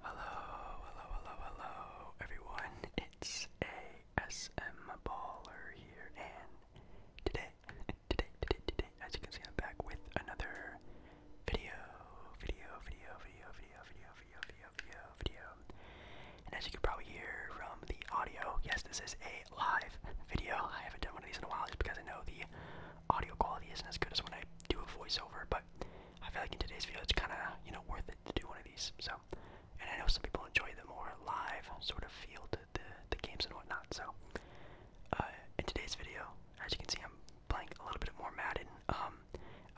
Hello, hello, hello, hello, everyone. It's ASM Baller here, and today, today, today, today, as you can see, I'm back with another video, video, video, video, video, video, video, video, video, video. And as you can probably hear from the audio, yes, this is a live video. I haven't done one of these in a while, just because I know the audio quality isn't as good as when I do a voiceover, but I feel like in today's video, it's kind of you know worth it to do one of these. So, and I know some people enjoy the more live sort of feel to the the games and whatnot. So, uh, in today's video, as you can see, I'm playing a little bit more Madden. Um,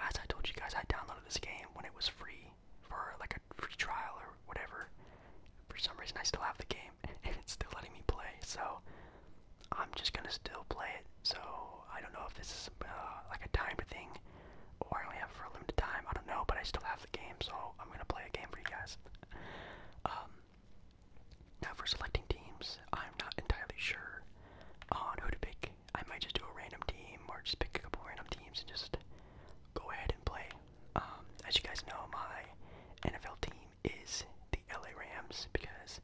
as I told you guys, I downloaded this game when it was free for like a free trial or whatever. For some reason, I still have the game and it's still letting me play. So, I'm just gonna still play it. So I don't know if this is uh, like a timed thing, or I only have for a limited time. I don't know, but I still have the game, so I'm gonna play a game for you guys. Um, now for selecting teams, I'm not entirely sure on who to pick. I might just do a random team, or just pick a couple random teams and just go ahead and play. Um, as you guys know, my NFL team is the LA Rams because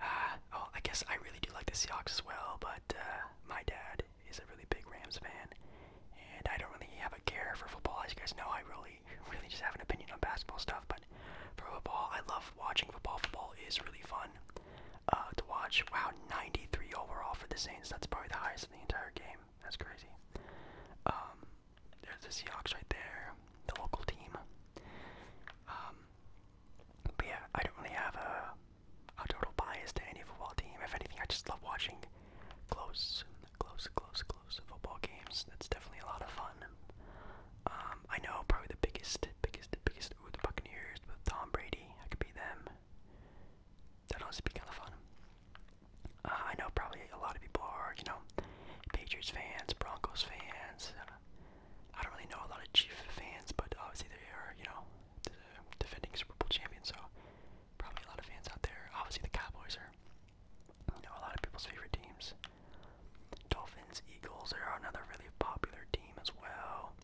uh, oh, I guess I really do like the Seahawks as well, but uh, my dad is a really big Rams fan, and I don't really have a care for football. As you guys know, I really, really just have an opinion on basketball stuff, but for football, I love watching football. Football is really fun uh, to watch. Wow, 93 overall for the Saints. That's probably the highest in the entire game. That's crazy. Um, there's the Seahawks right there, the local team. Um, but yeah, I don't really have a, a total bias to any football team. If anything, I just love watching close, close, close, close football games. That's definitely a lot of fun. Um, I know probably the biggest, biggest, biggest, ooh, the Buccaneers with Tom Brady. I could be them. That'd honestly be kind of fun. Uh, I know probably a lot of people are, you know, Patriots fans, Broncos fans, I don't really know a lot of Chiefs fans, but obviously they are, you know, defending Super Bowl champions, so probably a lot of fans out there. Obviously the Cowboys are, you know, a lot of people's favorite teams. Dolphins, Eagles are another really popular team as well.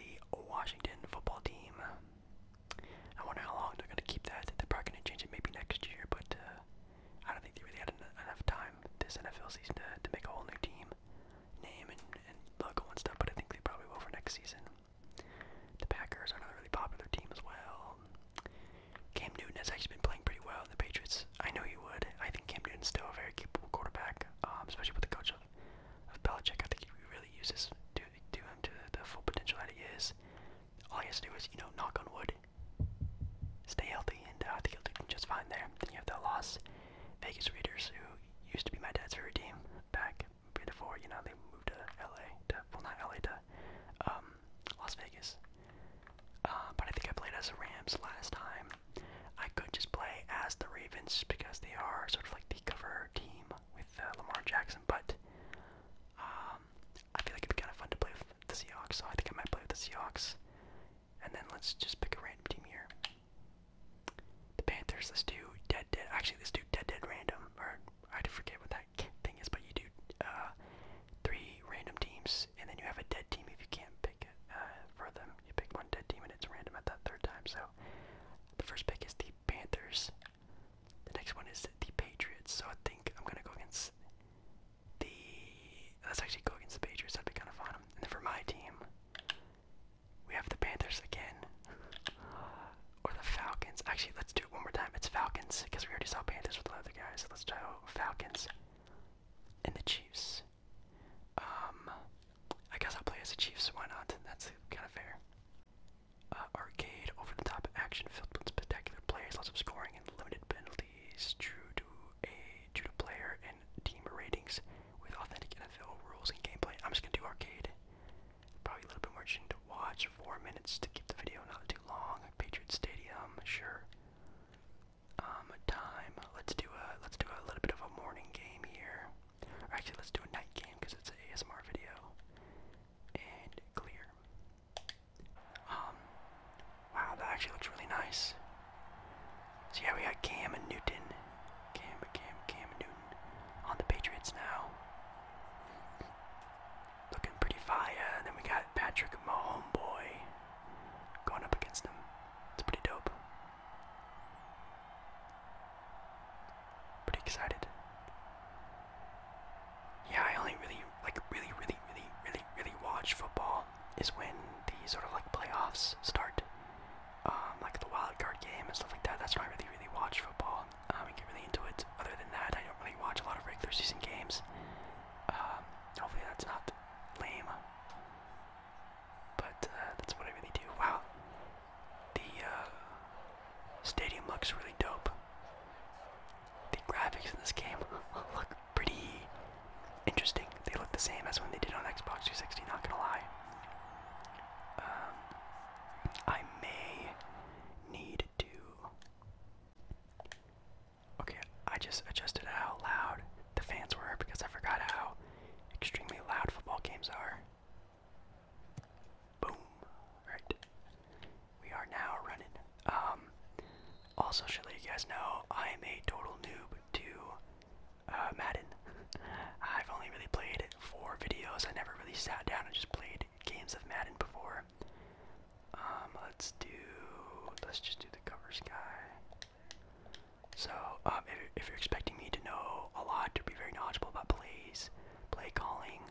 the Washington football team. I wonder how long they're gonna keep that. They're probably gonna change it maybe next year, but uh, I don't think they really had enough time this NFL season to, to make a whole new team name and, and logo and stuff, but I think they probably will for next season. The Packers are another really popular team as well. Cam Newton has actually been playing pretty well in the Patriots. I know he would. I think Cam Newton's still a very capable quarterback, um, especially with the coach of, of Belichick. I think he really uses to do him to the full potential that he is. All he has to do is, you know, knock on wood, stay healthy, and uh, I think he'll do just fine there. Then you have that loss Vegas Raiders, who used to be my dad's favorite team back before, you know, they moved to LA, to, well, not LA, to um, Las Vegas. Uh, but I think I played as the Rams last time. I could just play as the Ravens because they are sort of like the cover team with uh, Lamar Jackson, but um, I feel like it'd be kind of fun to play with the Seahawks, so I think I might play with the Seahawks and then let's just pick a random team here. The Panthers, let's do dead dead. Actually, let's do dead dead random. Or I forget what that thing is, but you do uh, three random teams, and then you have a dead team if you can't pick uh, for them. You pick one dead team, and it's random at that third time. So the first pick is the Panthers. The next one is the Patriots. So I think I'm gonna go against the. Let's actually go against the Patriots. That'd be kind of fun. And then for my team, we have the Panthers again. or the Falcons. Actually, let's do it one more time. It's Falcons, because we already saw Panthers with another guys. so let's try Falcons. And the Chiefs. Um, I guess I'll play as the Chiefs, why not? That's kind of fair. Uh, arcade, over the top action filled with spectacular plays, lots of scoring, and limited penalties. True to a due player and team ratings with authentic NFL rules and gameplay. I'm just gonna do arcade. Probably a little bit more interesting to watch. Four minutes to keep the video not too long. Patriot Stadium, sure. Um, time. Let's do a let's do a little bit of a morning game here. actually, let's do a night game because it's an ASMR video. And clear. Um, wow, that actually looks really nice. See, yeah, we got Cam and Newton. Cam, Cam, Cam and Newton on the Patriots now. Looking pretty fire. then we got Patrick, my homeboy, going up against him. It's pretty dope. Pretty excited. Yeah, I only really, like, really, really, really, really, really watch football is when the sort of like playoffs start, um, like the wild card game and stuff like that. That's when I really, really watch football. Um, I get really into it. Other than that, I don't really watch a lot of regular season games. Um, hopefully that's not lame. But uh, that's what I really do. Wow, the uh, stadium looks really dope. The graphics in this game look pretty interesting. They look the same as when they did on Xbox 360. Not gonna lie. Um, I may need to. Okay, I just adjusted how loud the fans were because I forgot how extremely loud football games are. Boom. Right. We are now running. Um, also, should let you guys know I am a total noob to uh, Madden. I've only really played four videos. I never really sat down and just played games of Madden before. Um, let's do. Let's just do the covers guy. So, um, if, you're expecting me to know a lot, to be very knowledgeable about plays, play calling,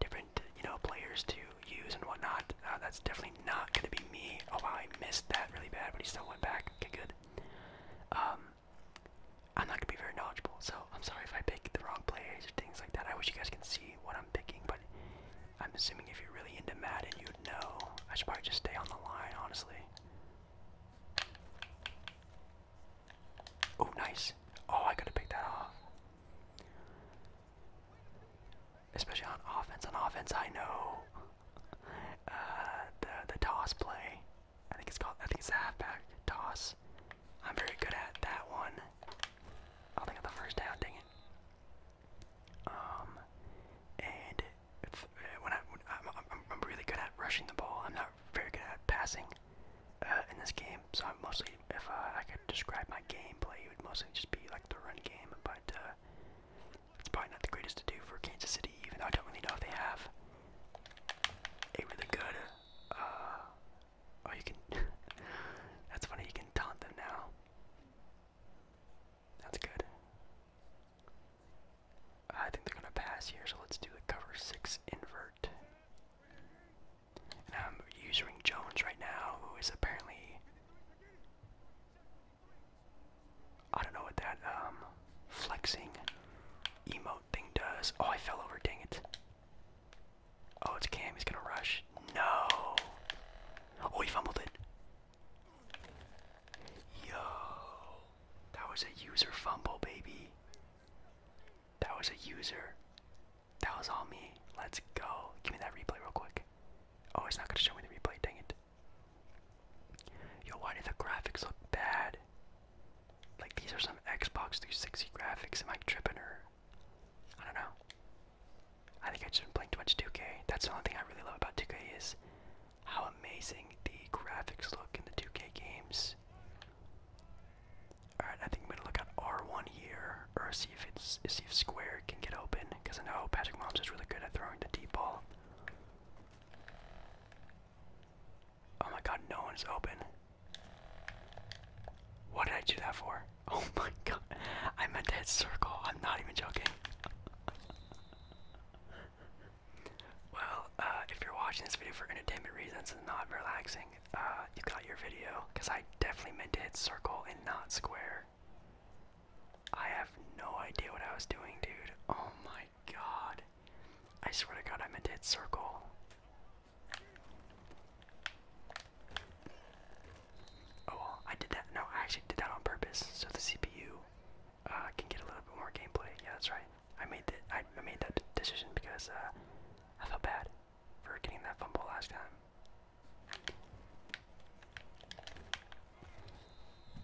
different you know players to use and whatnot, uh, that's definitely not going to be me. Oh wow, I missed that really bad, but he still went back. Okay, good. Um, I'm not gonna be very knowledgeable, so I'm sorry if I pick the wrong players or things like that. I wish you guys can see what I'm picking, but I'm assuming if you're really into Madden, you'd know. I should probably just stay on the line, honestly. Oh, nice. Oh, I could have picked that off. Especially on offense. On offense, I know uh, the the toss play. I think it's called. I think it's the halfback toss. I'm very good at that one. I'll think of the first down. Dang it. Um, and if, uh, when I I'm, I'm really good at rushing the ball. I'm not very good at passing. Uh, in this game, so I'm mostly, if uh, I could describe my gameplay, it would mostly just be like the run game, but uh, it's probably not the greatest to do for Kansas City, even though I don't really know if they have a really good. Uh, oh, you can. that's funny. You can taunt them now. That's good. I think they're gonna pass here, so let's do the cover six invert. And I'm using Jones right now, who is apparently I don't know what that um, flexing emote thing does. Oh, I fell over. Dang it. Oh, it's Cam. He's gonna rush. No. Oh, he fumbled it. Yo, that was a user fumble, baby. That was a user. That was all me. Let's go. Give me that replay real quick. Oh, it's not gonna show me the replay. Dang it. Yo, why do the graphics look bad? Like these are some Xbox 360 graphics. Am I tripping or? I don't know. I think I just been playing too much 2K. That's the only thing I really love about 2K is how amazing the graphics look in the 2K games. Alright, I think I'm gonna look at R1 here, or see if it's see if Square can get open, because I know Patrick Mahomes is really good at throwing the deep ball. Oh my god, no one's open. What did I do that for? Oh my god. I meant to hit circle. I'm not even joking. well, uh, if you're watching this video for entertainment reasons and not relaxing, uh, you got your video. Because I definitely meant to hit circle and not square. I have no idea what I was doing, dude. Oh my god. I swear to god, I'm a dead circle. Oh well, I did that. No, I actually did that on purpose, so the CPU uh, can get a little bit more gameplay. Yeah, that's right. I made that. I, I made that decision because uh, I felt bad for getting that fumble last time.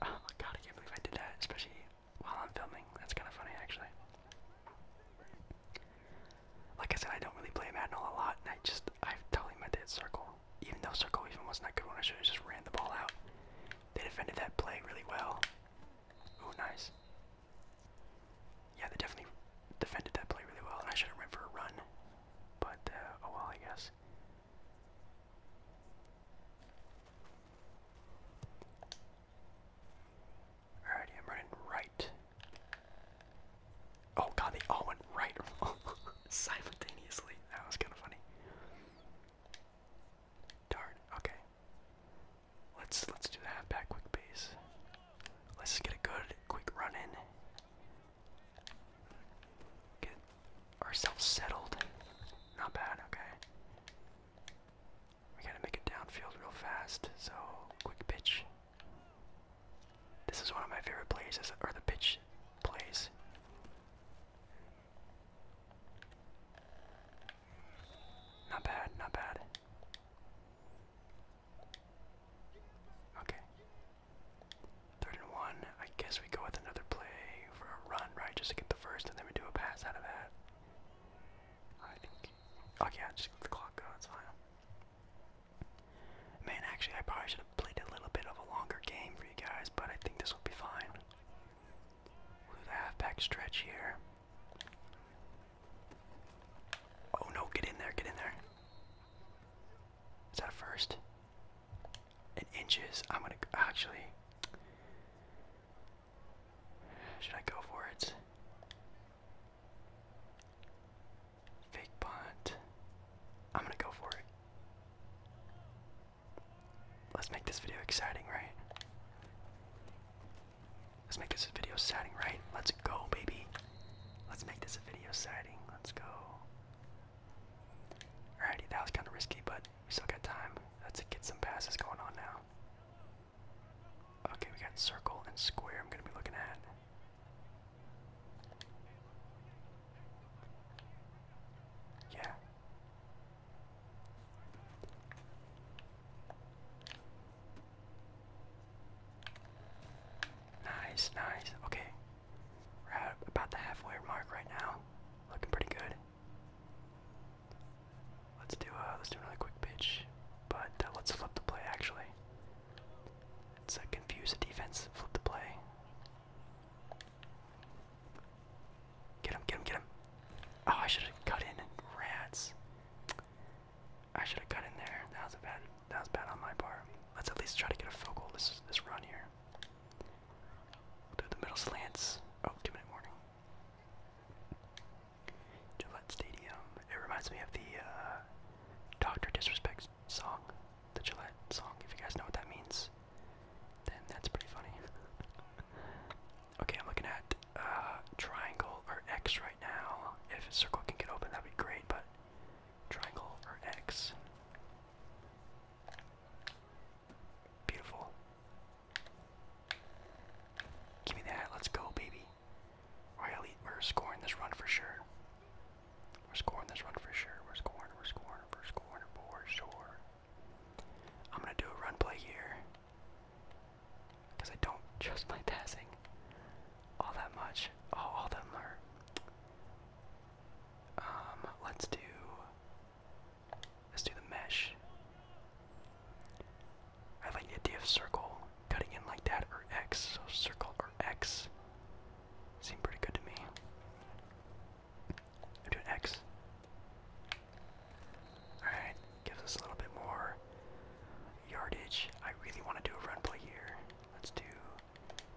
Oh my god, I can't believe I did that, especially while I'm filming. That's kind of funny, actually. Like I said, I don't really play Madden all a lot, and I just, i totally meant that circle. Even though circle even wasn't that good one, I should have just ran the ball out. They defended that play really well. Ooh, nice. Yeah, they definitely defended that play really well, and I should have ran for a run. But, uh, oh well, I guess. Alrighty, I'm running right. Oh god, they all went right simultaneously. That was kind of funny. Darn. Okay. Let's let's do the half back quick base. Let's get a good quick run in. Get ourselves settled. Not bad, okay. We gotta make it downfield real fast, so quick pitch. This is one of my favorite plays, or the pitch plays. Not bad, not bad. Okay. Third and one. I guess we go with another play for a run, right? Just to get the first, and then we do a pass out of that. I think. Oh yeah, just let the clock go. It's fine. Man, actually, I probably should have played a little bit of a longer game for you guys, but I think this will be fine. the halfback stretch here. Oh no! Get in there! Get in there! Is that first? in inches. I'm gonna actually. Should I go for it? Fake punt. I'm gonna go for it. Let's make this video exciting, right? Let's make this video exciting, right? Let's go, baby. Let's make this a video exciting. Let's go. Alrighty, that was kind of risky, but we still got time. Let's get some passes going on now. Okay, we got circle and square I'm going to be looking at. Yeah. Nice, nice. Okay. We're at about the halfway mark right now. Looking pretty good. Let's do uh, let's do another quick pitch, but uh, let's flip the play actually. Let's uh, confuse the defense. Flip the play. Get him! Get him! Get him! Oh, I should have cut in. Rats! I should have cut in there. That was a bad. That was bad on my part. Let's at least try to get a focal this this run here do the middle slants. Oh, two minute warning. Gillette Stadium. It reminds me of the uh, Doctor Disrespects song, the Gillette song. If you guys know what that means, then that's pretty funny. okay, I'm looking at uh, triangle or X right now. If circle can get open, that'd be great. But triangle or X. Beautiful. Give me that. Let's go, baby. we're scoring this run for sure. We're scoring this run for sure. We're scoring, we're scoring, we're scoring for sure. I'm going to do a run play here. Because I don't trust my passing all that much. Oh, all of them are. Um, let's do. Let's do the mesh. I like the idea of circle cutting in like that or X, so circle or X seem pretty good to me. I'm doing X. Alright, gives us a little bit more yardage. I really want to do a run play here. Let's do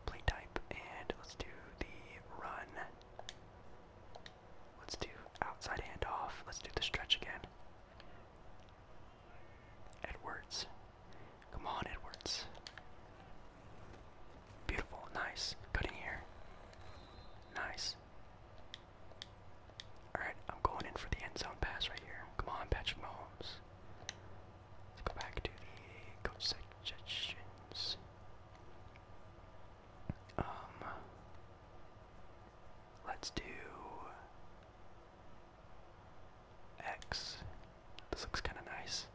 play type and let's do the run. Let's do outside and off. Let's do the stretch again. Edwards. Come on, Edwards. Beautiful. Nice. Good in here. Nice. Alright, I'm going in for the end zone pass right here. Come on, Patrick Mahomes. Let's go back to the coach sections. Um, let's do X. This looks kind of nice.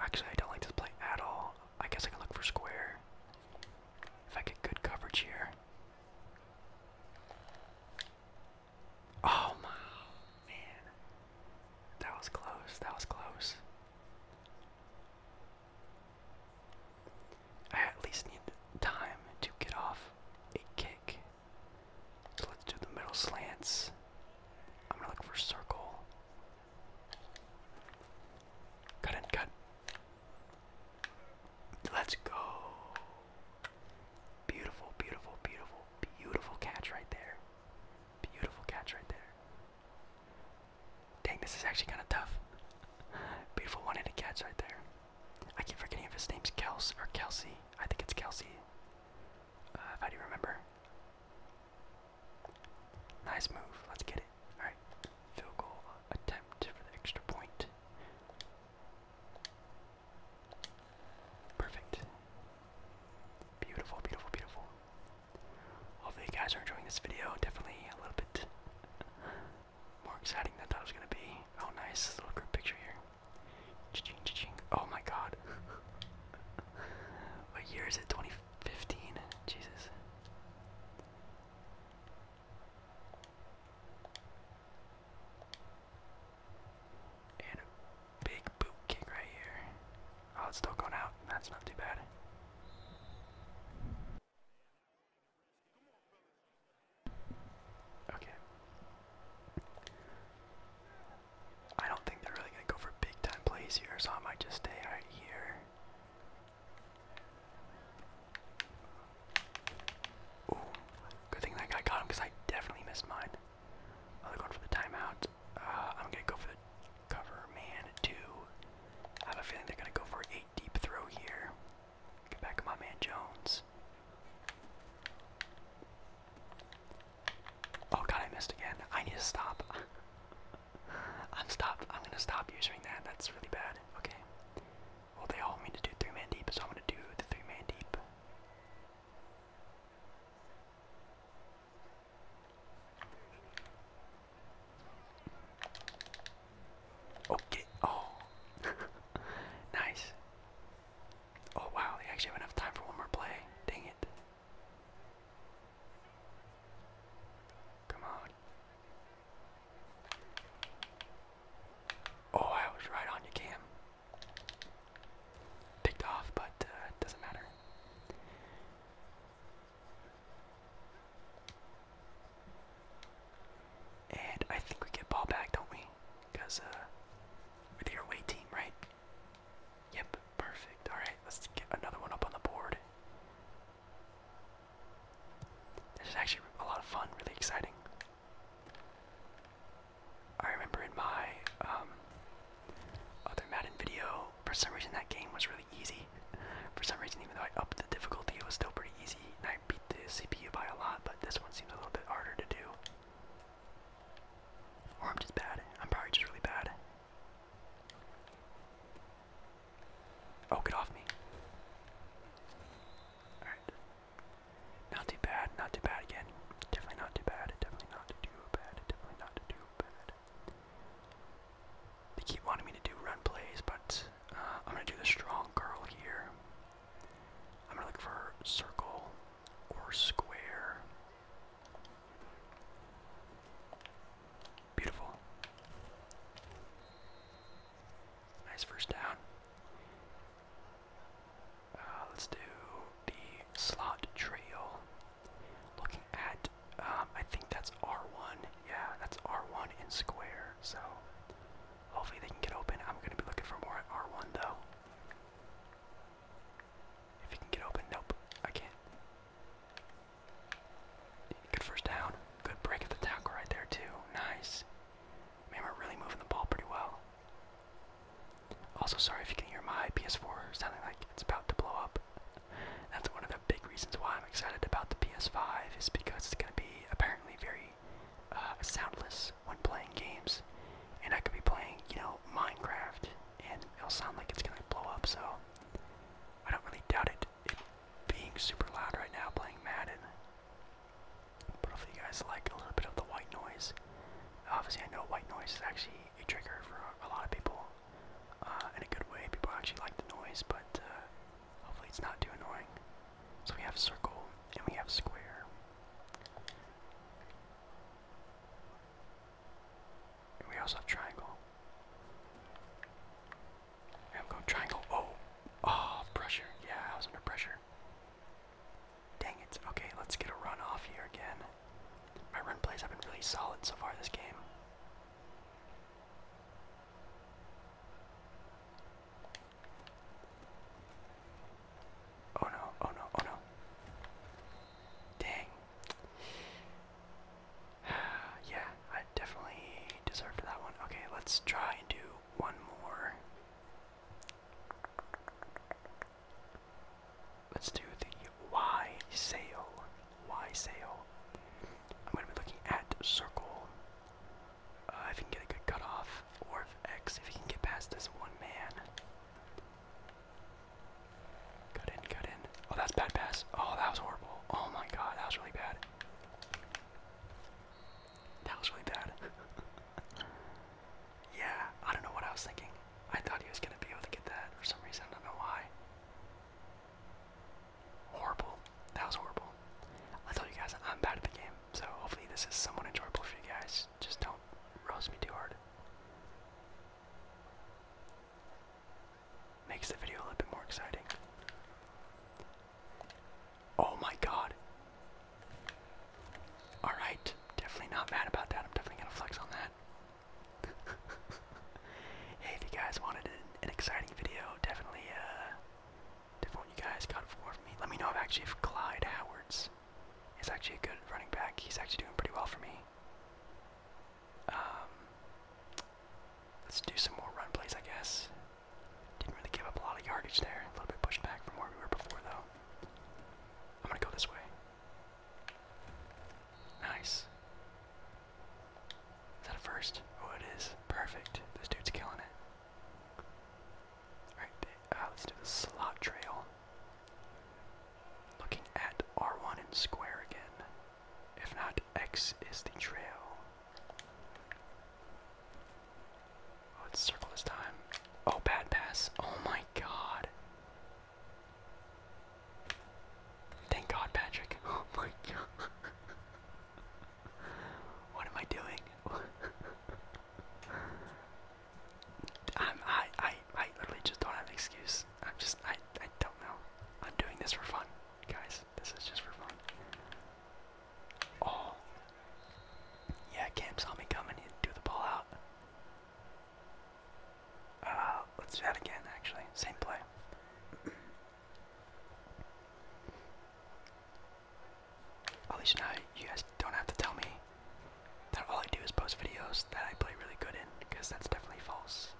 Actually, I don't like this play at all. I guess I can look for square. If I get good coverage here. Oh my man. That was close. That was close. I at least need time to get off a kick. So let's do the middle slants. I'm gonna look for circle. Cut and cut. Let's go. Beautiful, beautiful, beautiful, beautiful catch right there. Beautiful catch right there. Dang, this is actually kind of tough. Beautiful one handed catch right there. I keep forgetting if his name's Kels or Kelsey. I think it's Kelsey. Uh, if I remember. Nice move. Let's get it. Alright. Field goal attempt for the extra point. Perfect. Beautiful, beautiful, beautiful. Hopefully, you guys are enjoying this video. Definitely a little bit more exciting than I thought it was gonna be. Oh, nice little group picture here. Cha-ching, ching Oh my God. what year is it? 2015. Jesus. And a big boot right here. Oh, it's still going out. That's not too bad. Okay. I don't think they're really going to go for big time plays here, so I might just stay right here. Ooh, good thing that guy got him because I definitely missed mine. Oh, they for the timeout. Uh, I'm going to go for Cover man two. I have a feeling they're gonna go for an eight deep throw here. Get back my man Jones. Oh god, I missed again. I need to stop. I'm stopped. I'm gonna stop using that. That's really bad. Okay. Well, they all want to do three man deep, so I'm gonna do the three man deep. Okay. Oh, nice. Oh wow, they actually have enough time for one more play. Dang it. Come on. Oh, I was right on you, Cam. Picked off, but it uh, doesn't matter. And I think we get ball back, don't we? Because uh, we're the team, right? Yep, perfect. Alright, let's get another one up on the board. This is actually a lot of fun, really exciting. I remember in my um, other Madden video, for some reason that game was really easy. For some reason, even though I upped the difficulty, it was still pretty easy, and I beat the CPU by a lot. But this one seems a little bit harder to do. Or I'm just bad. I'm probably just really bad. Oh, get off me. Alright. Not too bad, not too bad again. Definitely not too bad, definitely not too bad, definitely not too bad. They keep wanting me to do run plays, but uh, I'm going to do the strong girl here. I'm going to look for circle or square. Beautiful. Nice first down. Uh, let's do the slot trail. Looking at, um, I think that's R1. Yeah, that's R1 and square. So hopefully they can get open. I'm going to be looking for more at R1 though. If he can get open, nope, I can't. Good first down. Good break of the tackle right there too. Nice. Man, we're really moving the ball pretty well. Also, sorry if you can hear my PS4 sounding like it's about to blow up. That's one of the big reasons why I'm excited about the PS5 is because it's going to be apparently very uh, soundless when playing games, and I could be playing, you know, Minecraft, and it'll sound like it's going to blow up. So I don't really doubt it, it being super loud right now playing Madden. But hopefully you guys like a little bit of the white noise. Obviously, I know white noise is actually a trigger for a lot of people, uh, in a good way. People actually like the noise, but uh, hopefully it's not too annoying. So we have circle and we have square. we also have triangle. I'm going triangle. Oh! Oh, pressure. Yeah, I was under pressure. Dang it. Okay, let's get a run off here again. My run plays have been really solid so far this game. Oh no, oh no, oh no. Dang. yeah, I definitely deserved that one. Okay, let's try and do one more. Let's do the Y sale. Why sail. I'm going to be looking at circle. Uh, if you can get a good cutoff, or if X, if you can get past this one man. Cut in, cut in. Oh, that's bad pass. Oh, that was horrible. Oh my god, that was really bad. That was really bad. yeah, I don't know what I was thinking. I thought he was going to be able to get that for some reason. I don't know why horrible. That was horrible. I told you guys I'm bad at the game, so hopefully this is somewhat enjoyable for you guys. Just don't roast me too hard. Makes the video a little bit more exciting. Oh my god. Alright, definitely not mad about that. I'm definitely gonna flex on that. hey, if you guys wanted an, exciting video, definitely, uh, definitely you guys got for me. Let me know actually if Clyde Howards is actually a good running back. He's actually doing pretty well for me. Um, let's do some more run plays, I guess. Didn't really give up a lot of yardage there. A little bit pushed back from where we were before, though. I'm gonna go this way. Nice. Is that a first? Oh, it is. Perfect. This dude's killing it. Alright, uh, let's do the slot trail. Looking at R1 and square again. If not, X is the trail. Oh, let circle this time. Oh, bad pass. Oh my god. Thank God, Patrick. Oh my God. What am I doing? I'm, I, I, I literally just don't have an excuse. I'm just, I, I don't know. I'm doing this for fun, guys. This is just for fun. Oh, yeah. Cam saw me coming. He threw the ball out. Uh, let's do that again. Actually, same play. At oh, least now you guys don't have to tell me that all I do is post videos that I play really good in, because that's definitely false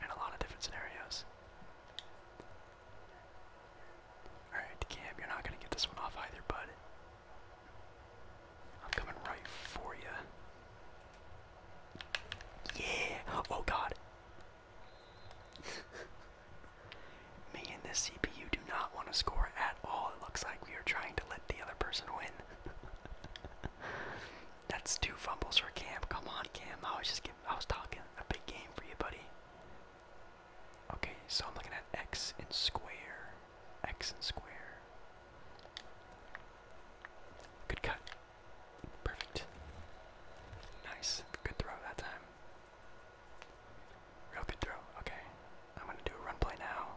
in a lot of different scenarios. Alright, Cam, you're not going to get this one off either, bud. I'm coming right for you. Yeah! Oh god. Me and this CPU do not want to score at all. It looks like we are trying to let the other person win. That's two fumbles for Cam. Come on, Cam. I was just giving, I was talking a big game for you, buddy. Okay, so I'm looking at X and square. X and square. Good cut. Perfect. Nice. Good throw that time. Real good throw. Okay. I'm gonna do a run play now.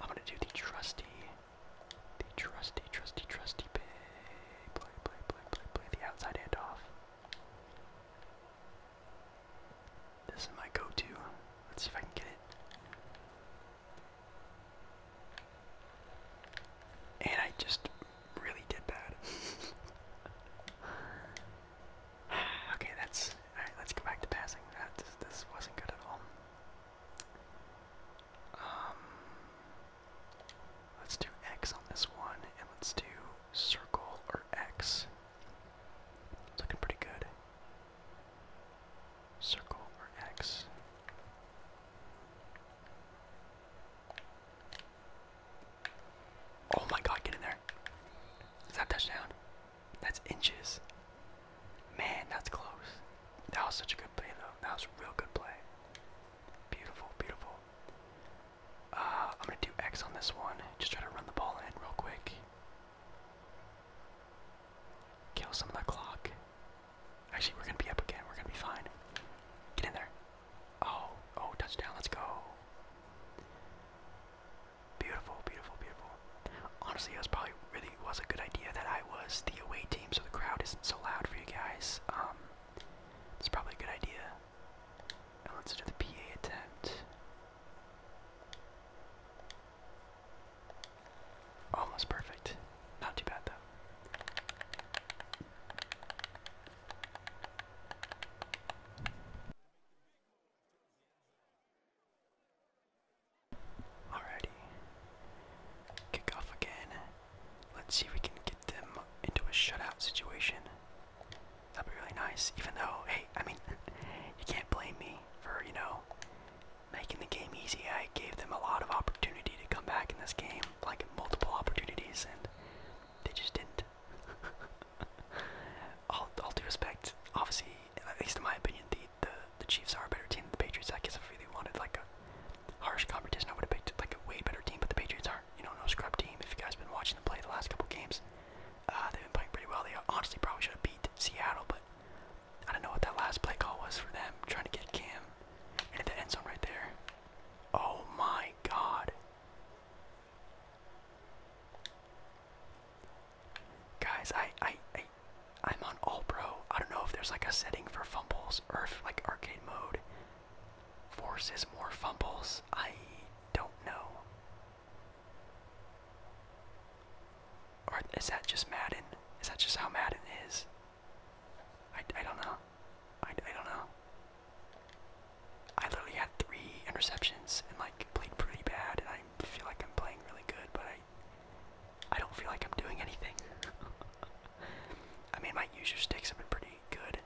I'm gonna do the trusty, the trusty, trusty, trusty play, play, play, play, play, the outside handoff. This is my go-to. Let's see if I can get it. And I just really did bad. okay, that's alright, let's go back to passing. That this, wasn't good at all. Um let's do X on this one and let's do circle or X. looking pretty good. Circle or X. Oh my god, get in there. Is that touchdown? That's inches. Man, that's close. That was such a good play though. That was a real good play. Beautiful, beautiful. Uh, I'm gonna do X on this one. Just try to run the ball in real quick. Kill some of the clock. Actually, we're gonna be up again. We're gonna be fine. Get in there. Oh, oh, touchdown. Let's go. Beautiful, beautiful, beautiful. Honestly, it was probably really was a good idea that I was the away team, so the crowd isn't so loud for you guys. Um, it's probably a good idea. Now let's do the PA attempt. Almost perfect. Not too bad though. Alrighty. Kick again. Let's see if we can get them into a shutout situation. That'd be really nice. Even though, hey, I mean, you can't blame me for, you know, making the game easy. I gave them a lot of opportunities to come back in this game, like multiple opportunities, and they just didn't. all, all due respect, obviously, at least in my opinion, the, the, the Chiefs are a better team than the Patriots. I guess if I really wanted like a harsh competition, I would have picked like a way better team, but the Patriots are, you know, no scrub team. If you guys have been watching them play the last couple games, uh, they've been playing pretty well. They honestly probably should have beat Seattle, but I don't know what that last play call was for them, trying to get Cam into the end zone right there. Oh my god. Guys, I, I, I, am on all pro. I don't know if there's like a setting for fumbles or if like arcade mode forces more fumbles. I don't know. Or is that just Madden? Is that just how Madden is? I, I don't know. I, I don't know. I literally had three interceptions and like played pretty bad, and I feel like I'm playing really good, but I I don't feel like I'm doing anything. I mean, my user sticks have been pretty good,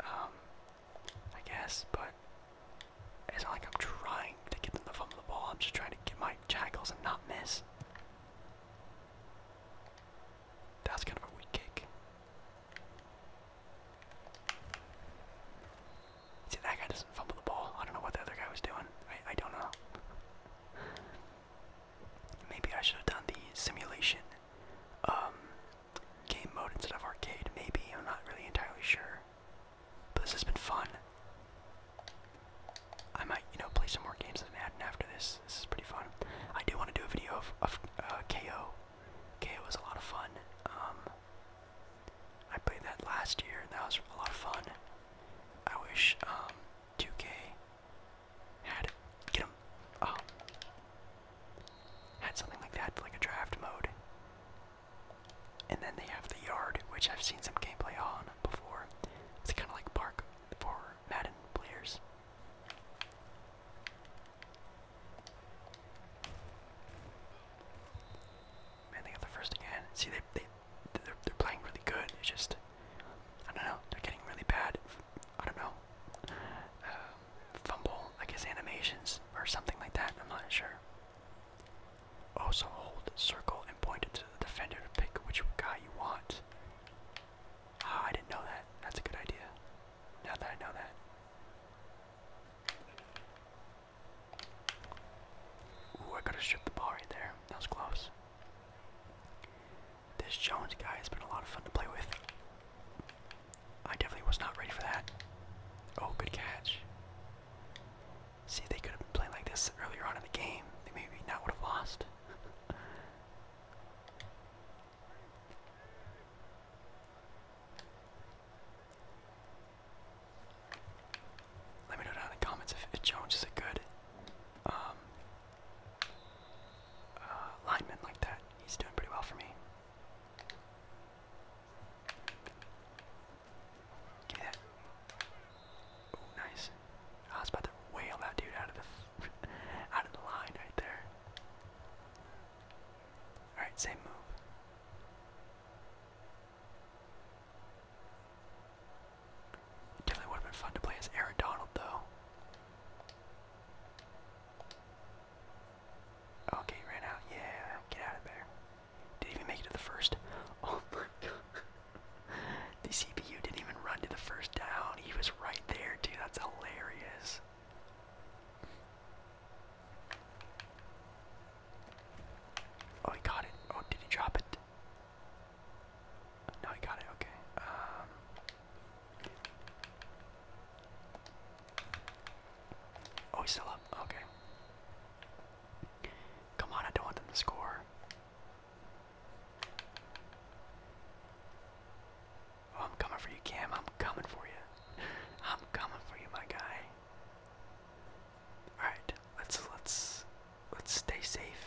um, I guess, but it's not like I'm trying to get them to fumble the ball. I'm just trying to get my jackals and not miss. That's kind of a weak kick. See, that guy doesn't fumble the ball. I don't know what the other guy was doing. I, I don't know. Maybe I should have done the simulation um, game mode instead of arcade. Maybe. I'm not really entirely sure. But this has been fun. I might, you know, play some more games of Madden after this this is pretty fun. I do want to do a video of, of uh, KO. KO was a lot of fun. Um, I played that last year, that was a lot of fun. I wish 2K um, had get them oh, had something like that, like a draft mode. And then they have the yard, which I've seen some gameplay on before. It's kind of like park for Madden players. Man, they got the first again. See, they, they, they're, playing really good. It's just, I don't know, they're getting really bad, I don't know, uh, fumble, I guess animations or something like that. I'm not sure. Also hold circle and point it to the defender to pick which guy you want. Ah, I didn't know that. That's a good idea. Now that I know that. Ooh, I could have stripped the ball right there. That was close. This Jones guy has been a lot of fun to play with. I definitely was not ready for that. Oh, good catch. See, they could have been playing like this earlier on in the game. They maybe not would have lost. Let me know down in the comments if, Jones is a good um, uh, lineman like that. He's doing pretty well for me. Give me that. Oh, nice. I was about to wail that dude out of the out of the line right there. Alright, same move. Definitely would have been fun to play as Aaron Donald, though. Okay, he ran out. Yeah, get out of there. Didn't even make it to the first. Oh my god. The CPU didn't even run to the first down. He was right there, dude. That's hilarious. Oh, he got it. Oh, did he drop it? No, he got it. Okay. Um, oh, he's still up. Okay. Come on, I don't want them to score. I'm coming for you, Cam. I'm coming for you. I'm coming for you, my guy. All right, let's let's let's stay safe.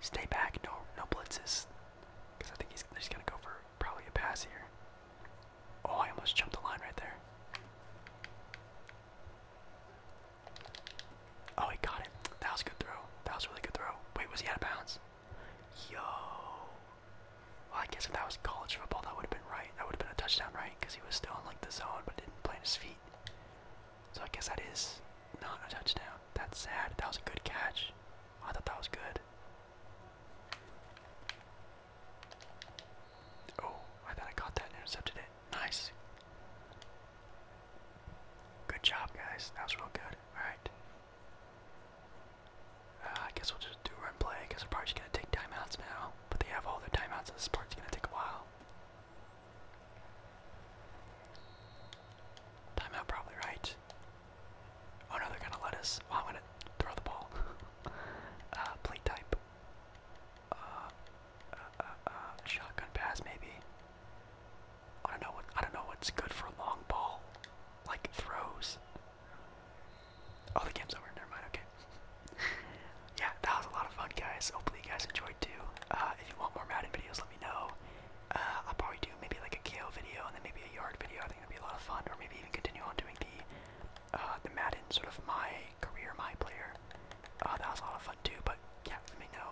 Stay back. No no blitzes, because I think he's just gonna go for probably a pass here. Oh, I almost jumped the line right there. Oh, he got it. That was a good throw. That was a really good throw. Wait, was he out of bounds? Yo. Well, I guess if that was college football, that would have been right. That would have been a touchdown, right? Because he was still in like the zone, but didn't plant his feet. So I guess that is not a touchdown. That's sad. That was a good catch. I thought that was good. Oh, I thought I caught that and intercepted it. Nice. Good job, guys. That was real good. All right. Uh, I guess we'll just do run play. I guess we're probably just gonna take timeouts now. But they have all their timeouts, so this part's gonna take a while. Timeout probably right. Oh no, they're gonna let us. I'm gonna throw the ball. uh, play type. uh, uh, uh, uh shotgun pass maybe. I don't know what I don't know what's good for a long ball like throws. Oh, the game's over. Never mind. Okay. yeah, that was a lot of fun, guys. Hopefully, you guys enjoyed too. Uh, if you want more Madden videos, let me know. Uh, I'll probably do maybe like a KO video and then maybe a yard video. I think that'd be a lot of fun, or maybe even continue on doing the uh, the Madden sort of my career, my player. that was a lot of fun too. But yeah, let me know.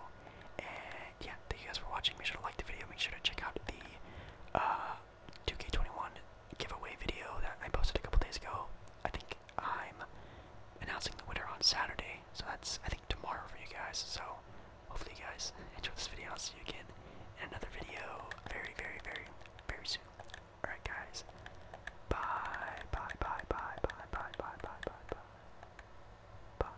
And yeah, thank you guys for watching. Make sure to like the video. Make sure to check out the uh, 2K21 giveaway video that I posted a couple days ago. I think I'm announcing the winner on Saturday, so that's I think tomorrow for you guys. So hopefully you guys enjoy this video. I'll see you again in another video very, very, very, very soon. Alright guys. bye, bye, bye, bye, bye, bye, bye, bye, bye. Bye.